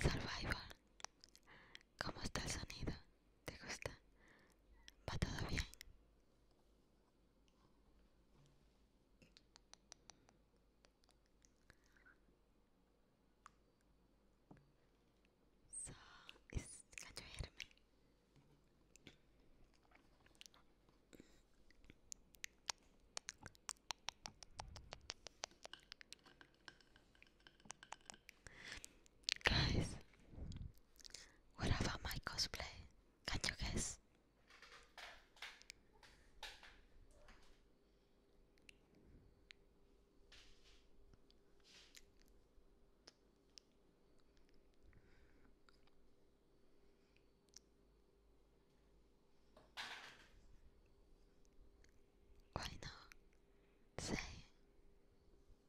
Survivor, ¿cómo está el sonido? ¿Te gusta? ¿Va todo bien? So, es Cacho Guys, what about my cosplay? Can you guess? Why not? Say.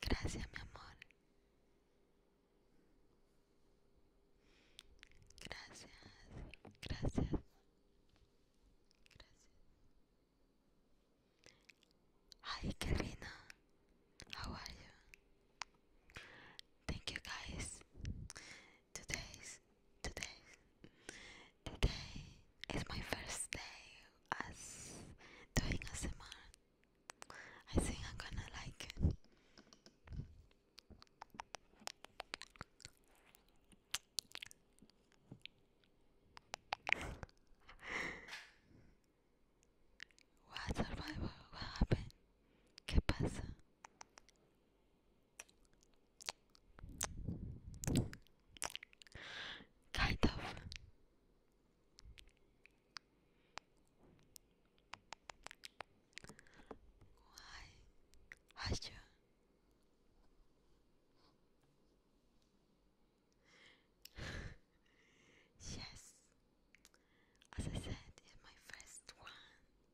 Gracias, meu amor. graças, graças, Gracias. Hi, Karina. How are you? Thank you, guys. today's today today is my first day as doing ASMR. I think I'm gonna like it. What survivor? What happened? ¿Qué pasa? Kind of. Why has yes, as I said, in my first one.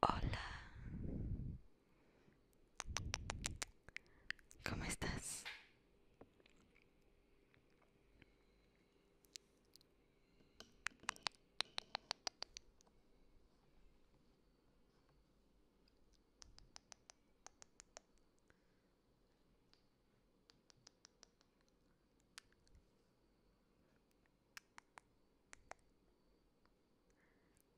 Hola. ¿Cómo estás?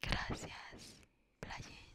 Gracias, Brian.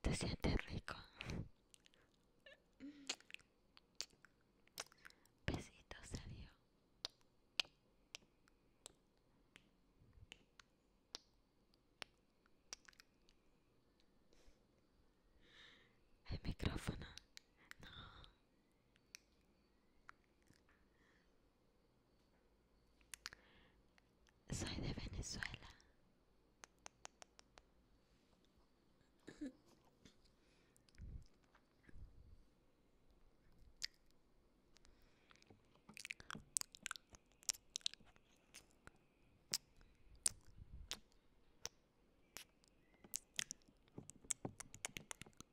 Te sientes rico. Besito serio. El micrófono. No. Soy de Venezuela.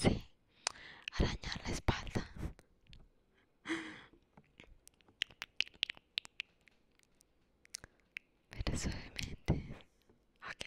sí, arañar la espalda. Pero suavemente. Ok.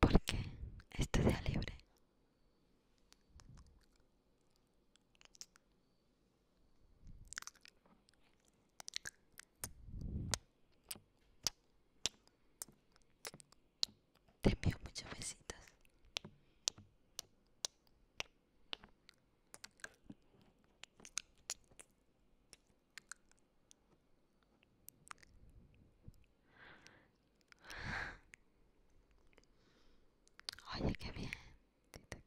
Porque qué? Estudia libre. Te envío muchas besitos. Oye, qué bien, Tito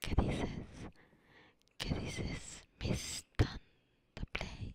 ¿Qué dices? ¿Qué dices, Miss Play?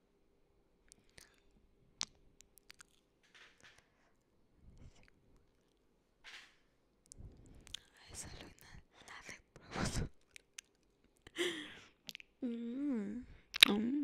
esa luna la de Mm. Mm.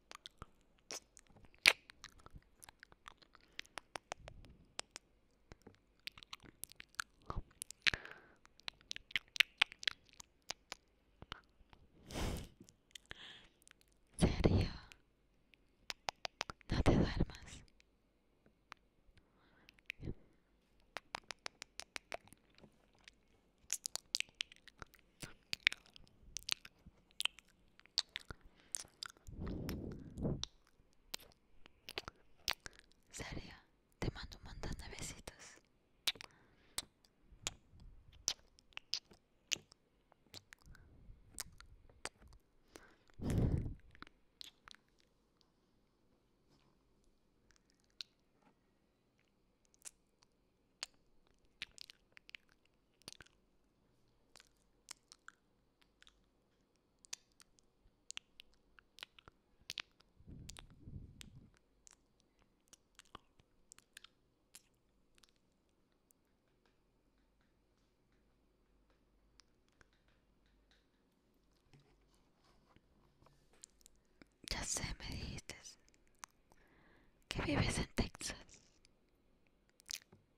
sería no te más. Saria, te mando un montón de besitos. Ya sé, me dijiste que vives en Texas.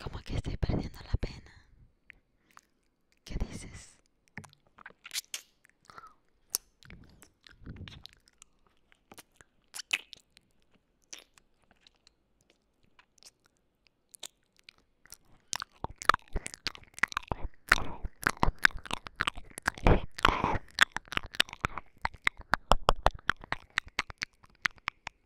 Como que estoy perdiendo la pena. ¿Qué dices?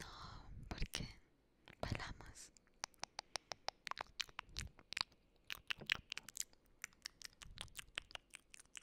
No, porque bailamos.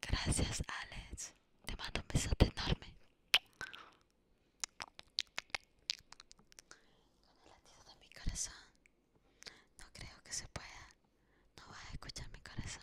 Gracias, Alex. Te mando un besote enorme. Con el latido de mi corazón. No creo que se pueda. No vas a escuchar mi corazón.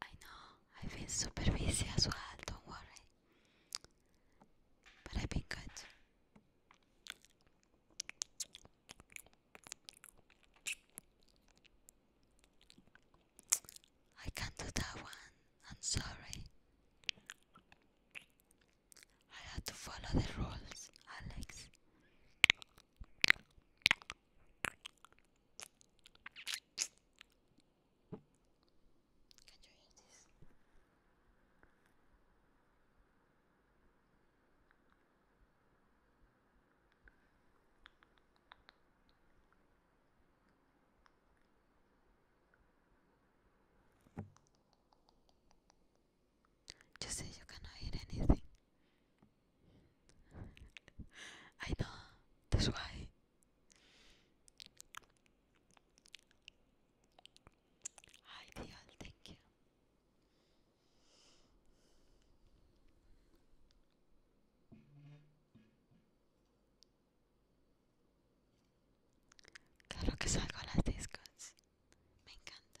I know I've been super busy as well, don't worry. But I've been good. I can't do that one, I'm sorry. I had to follow the rules, Alex. You say you cannot hear anything. I know, that's why. Ideal, thank you. Claro que salgo a las discos. Me encanta.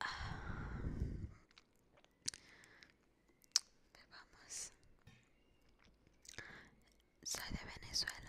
Ah. Bebamos. Soy de Venezuela.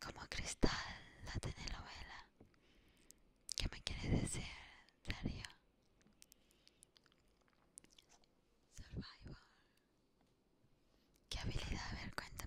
como cristal la telenovela. ¿Qué me quieres decir, Darío? survival ¿Qué habilidad? A ver, cuéntame.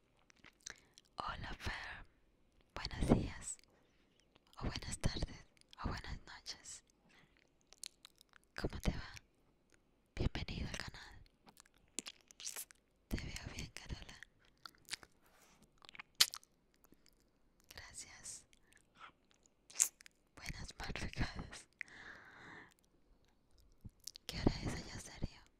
Hola Fer, buenos días, o buenas tardes, o buenas noches. ¿Cómo te va? Bienvenido al canal. Te veo bien, Carola. Gracias. Buenas madrugadas. ¿Qué hora es allá, serio?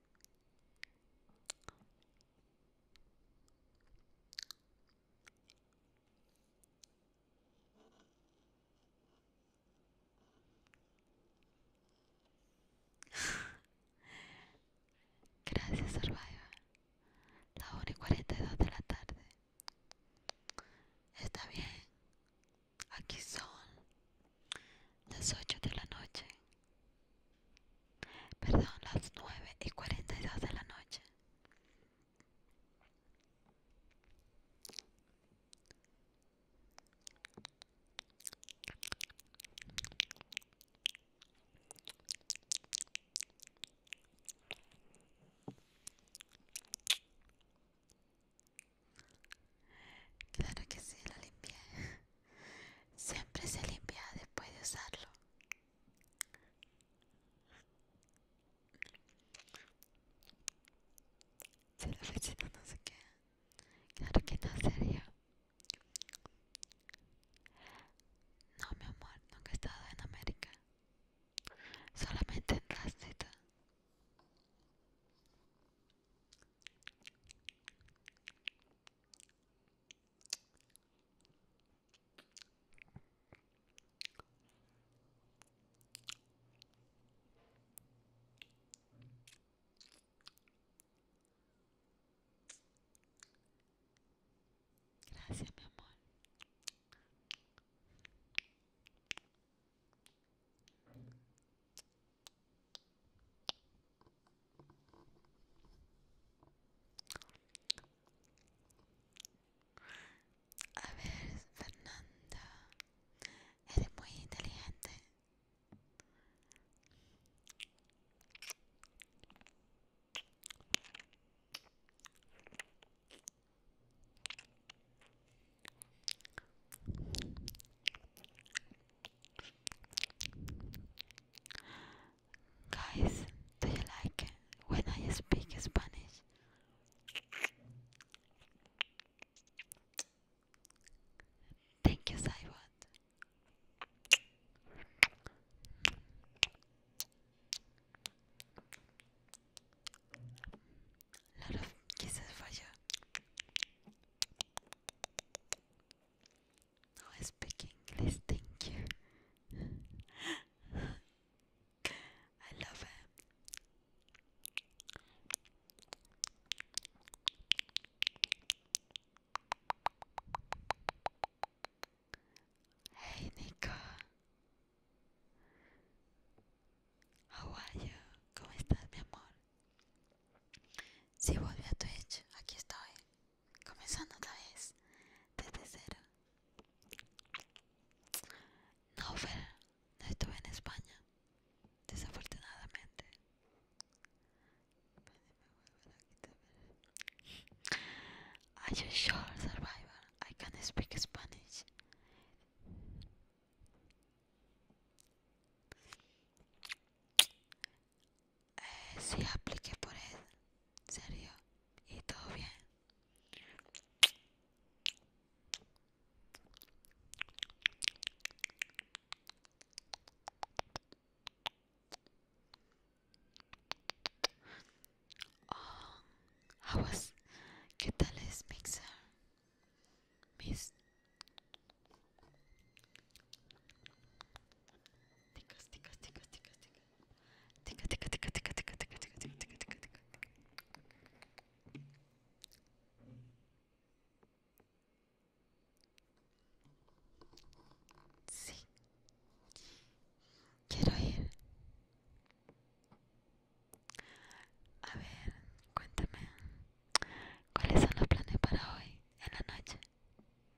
Gracias, Survivor. La hora y 42 de la tarde. Está bien. Aquí son las ocho de la noche, perdón, las nueve y cuarenta y dos de la noche. Claro que sí, la limpié. Siempre se limpia después de usarlo. Si la fechita no se queda, claro que no sería. No, mi amor, nunca he estado en América. Solamente en Rastita. Gracias, mi amor. A ver, Fernanda, eres muy inteligente. Guys, do you like when I speak Spanish? Thank you, Saibot. Lot of kisses for you. Now I speak English, thank you. I love him. Hey Nico, how are you? ¿Cómo estás, mi amor? Si volví a Twitch, aquí estoy. comenzando otra vez desde cero. No, pero no estuve en España, desafortunadamente. Are you sure, survivor? I can speak Spanish. Eh, si apliqué por él, serio, y todo bien. Oh, ¿qué tal es Mixer? Mis Tica tica tica tica Tica, tica, tica, tica, tica, tica, tica, tica, tica, tica, tica. Sí. Quiero ir. A ver, cuéntame. ¿Cuáles son los planes para hoy en la noche?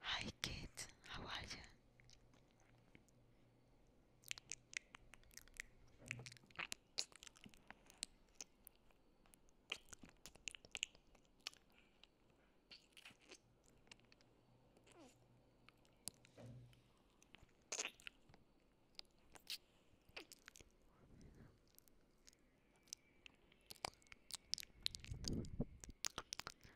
Hi kids, how are you?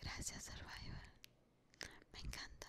Gracias, Survivor. Me encanta.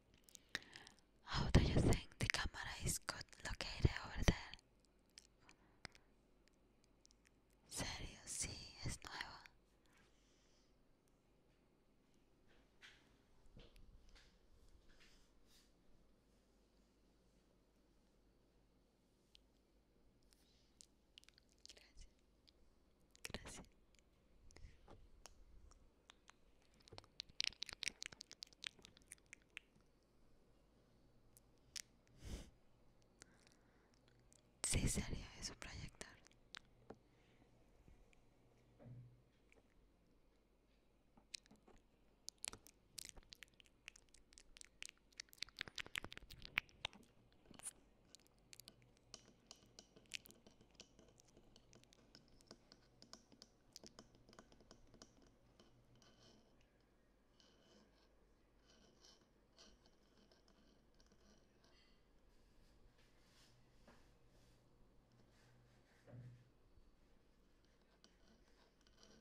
How do you think the camera is good located over there? Serio, sí, es nueva. Gracias. Gracias. Sí sería eso proyectar.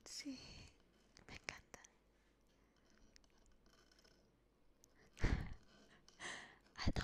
Sí, me encanta. a no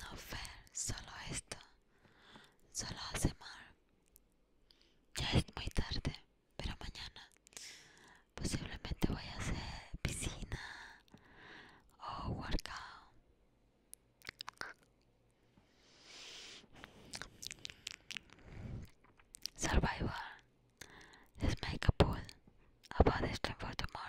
No, fair solo esto. Solo hace mal. Ya es muy tarde, pero mañana posiblemente voy a hacer piscina o workout. Survival. Let's make a pool about this time for tomorrow.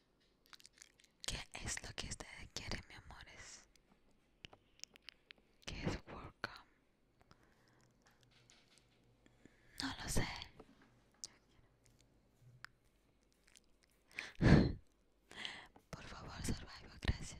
¿Qué es lo que ustedes quieren, mi amores? ¿Qué es Welcome? No lo sé. Por favor, survive, gracias.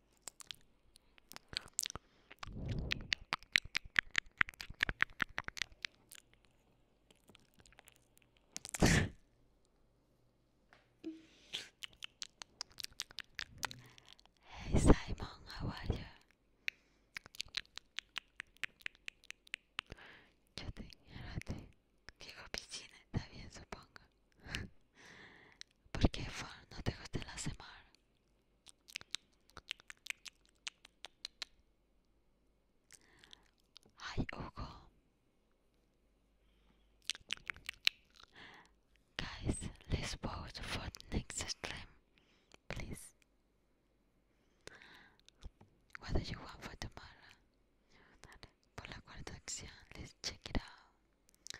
Hey Simon, how are you? Yo te Que Digo piscina, está bien supongo. ¿Por qué no te gusta la semana? Hi, Hugo. Guys, let's vote for next stream, please. What do you want for tomorrow? Por la cuarta acción, let's check it out.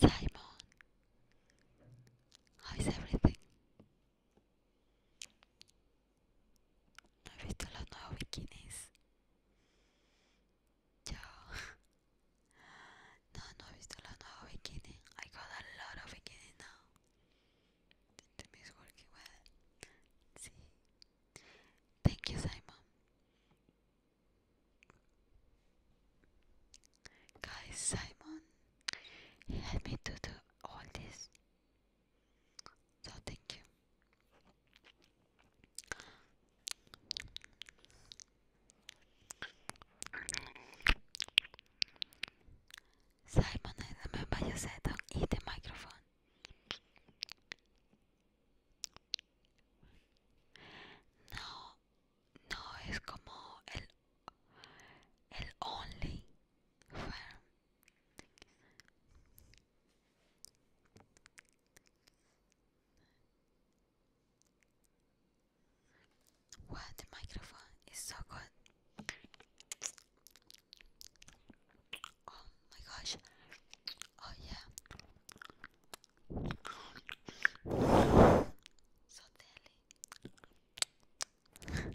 Simon, ¿cómo está todo? ¿No he visto los nuevos bikinis? Ciao. No, no he visto los nuevos bikinis. I got a lot of bikinis now. The working well. Thank you, Simon. Guys, Simon helped me to do all this. So thank you. Simon remember you said y de micrófono. No, no es como el, el only Wow, the microphone is so good. Oh my gosh. Oh yeah. So deadly.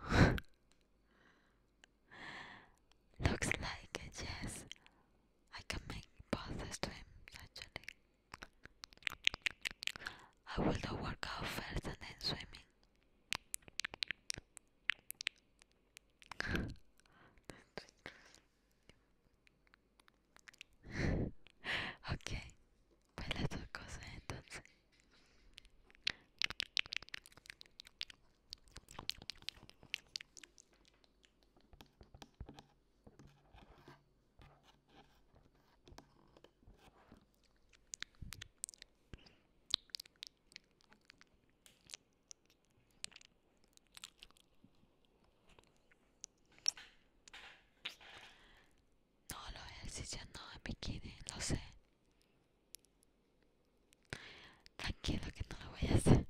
Looks like yes. I can make passes to him, actually. I will do workout first and then swimming. okay. Pues las dos cosas entonces. No, lo si ya no me bikini, lo sé. Tranquilo que no lo voy a hacer.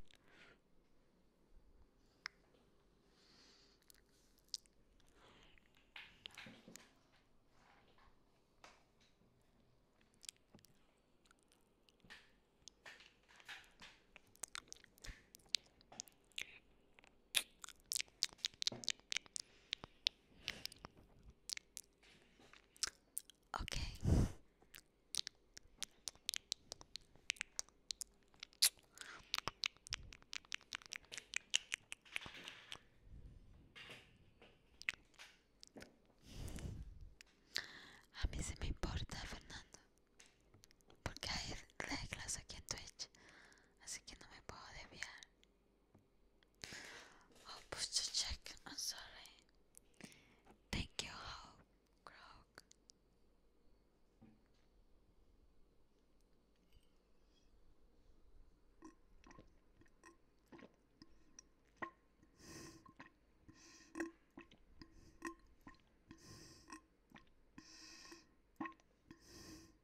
Okay. A mí se me importa, Fernando, porque hay reglas aquí en Twitch, así que no me puedo desviar. I'll push the check. I'm sorry. Thank you, Hope Grog.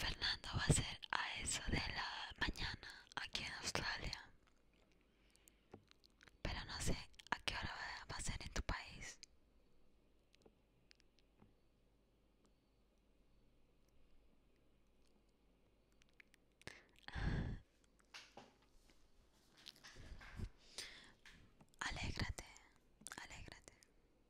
Fernando va a ser a eso de la mañana aquí en Australia. Pero no sé a qué hora va a ser en tu país. Alégrate, alégrate.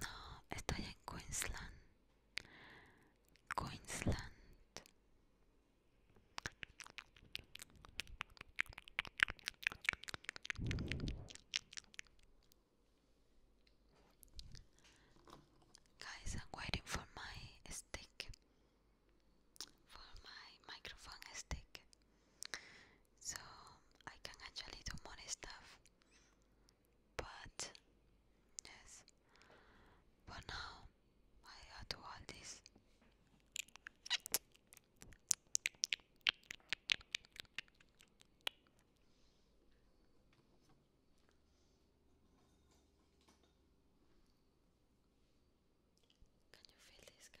No, estoy en Queensland. Queensland. Guys, I'm waiting for my stick. For my microphone stick. So I can actually do more stuff. But yes. But now I have all this. Can you feel this guy?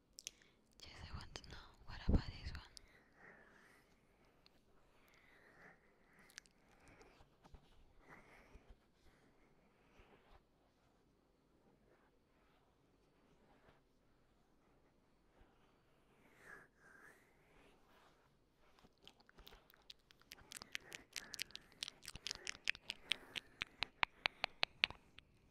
Yes, I want to know. What about this one?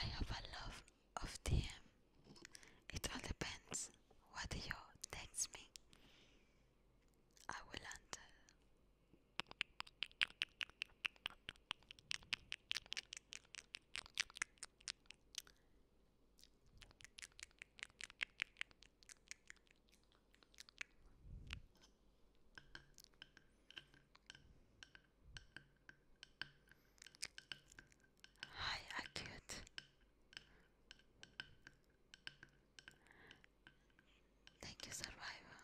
I have a love of DM. It all depends what you text me. I will enter. Hi, acute. Thank you, Survivor.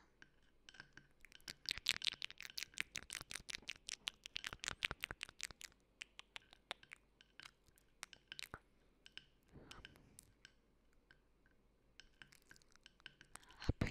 I've been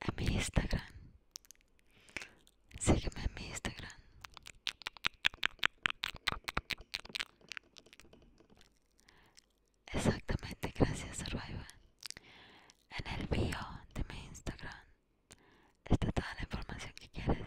En mi Instagram. Sígueme en mi Instagram. Exactamente, gracias Survivor. En el bio de mi Instagram está toda la información que quieres.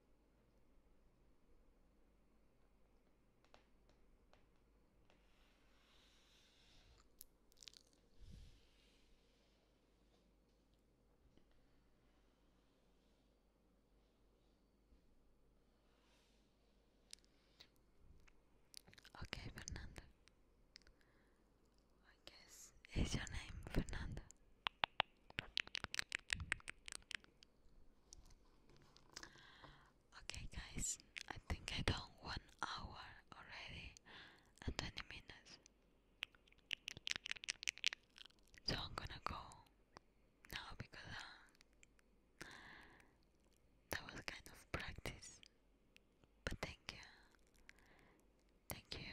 Okay, Fernanda. I guess is your name Fernanda. Okay, guys, I think I done one hour already and 20 minutes. So I'm gonna go now because uh, that was kind of practice. But thank you. Thank you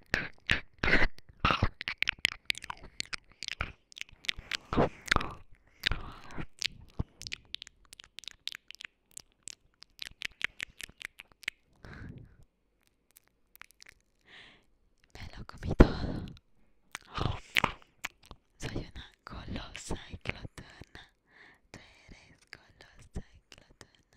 Me lo comí todo. Soy una colosa y Tú eres colosa y glotona.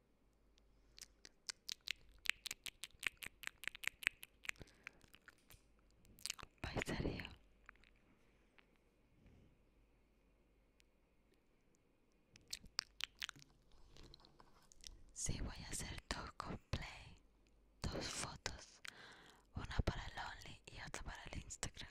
yo? Sí, voy a hacer dos coplay, dos fotos, una para el Only y otra para el Instagram.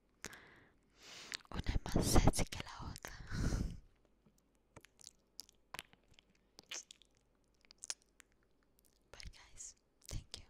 Una es más sexy que la otra. Bye guys. Thank you.